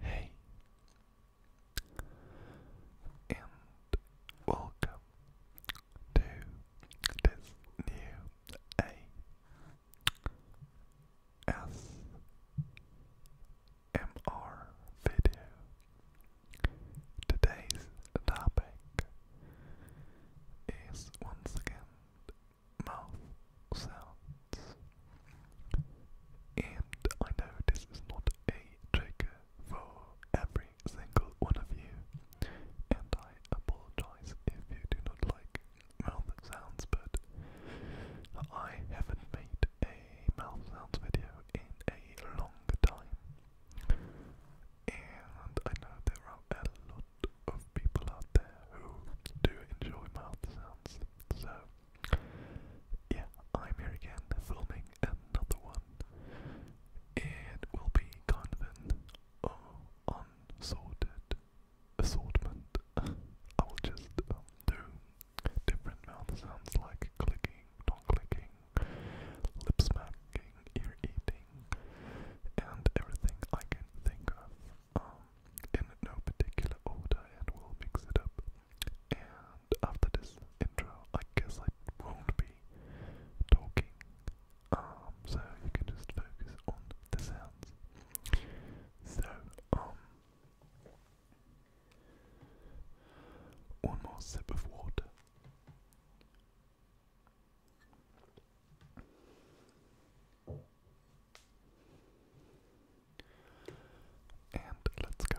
Hey, and welcome to this new ASMR video. Today's topic is once again mouth sounds. And I know this is not a trigger for every single one of you, and I apologize if you do not like mouth sounds, but I haven't made a mouth sounds video in a long time. And I know there are a lot of people out there who do enjoy mouth sounds, so yeah, I'm here again, filming another one. It will be kind of an uh, unsorted assortment. I will just um, do different mouth sounds like clicking, not clicking, lip smacking, ear eating, and everything I can think of. Um, in no particular order and we'll mix it up. And after this intro, I guess I won't be talking, um, so you can just focus on the sounds. So, um, one more sip of water. And let's go.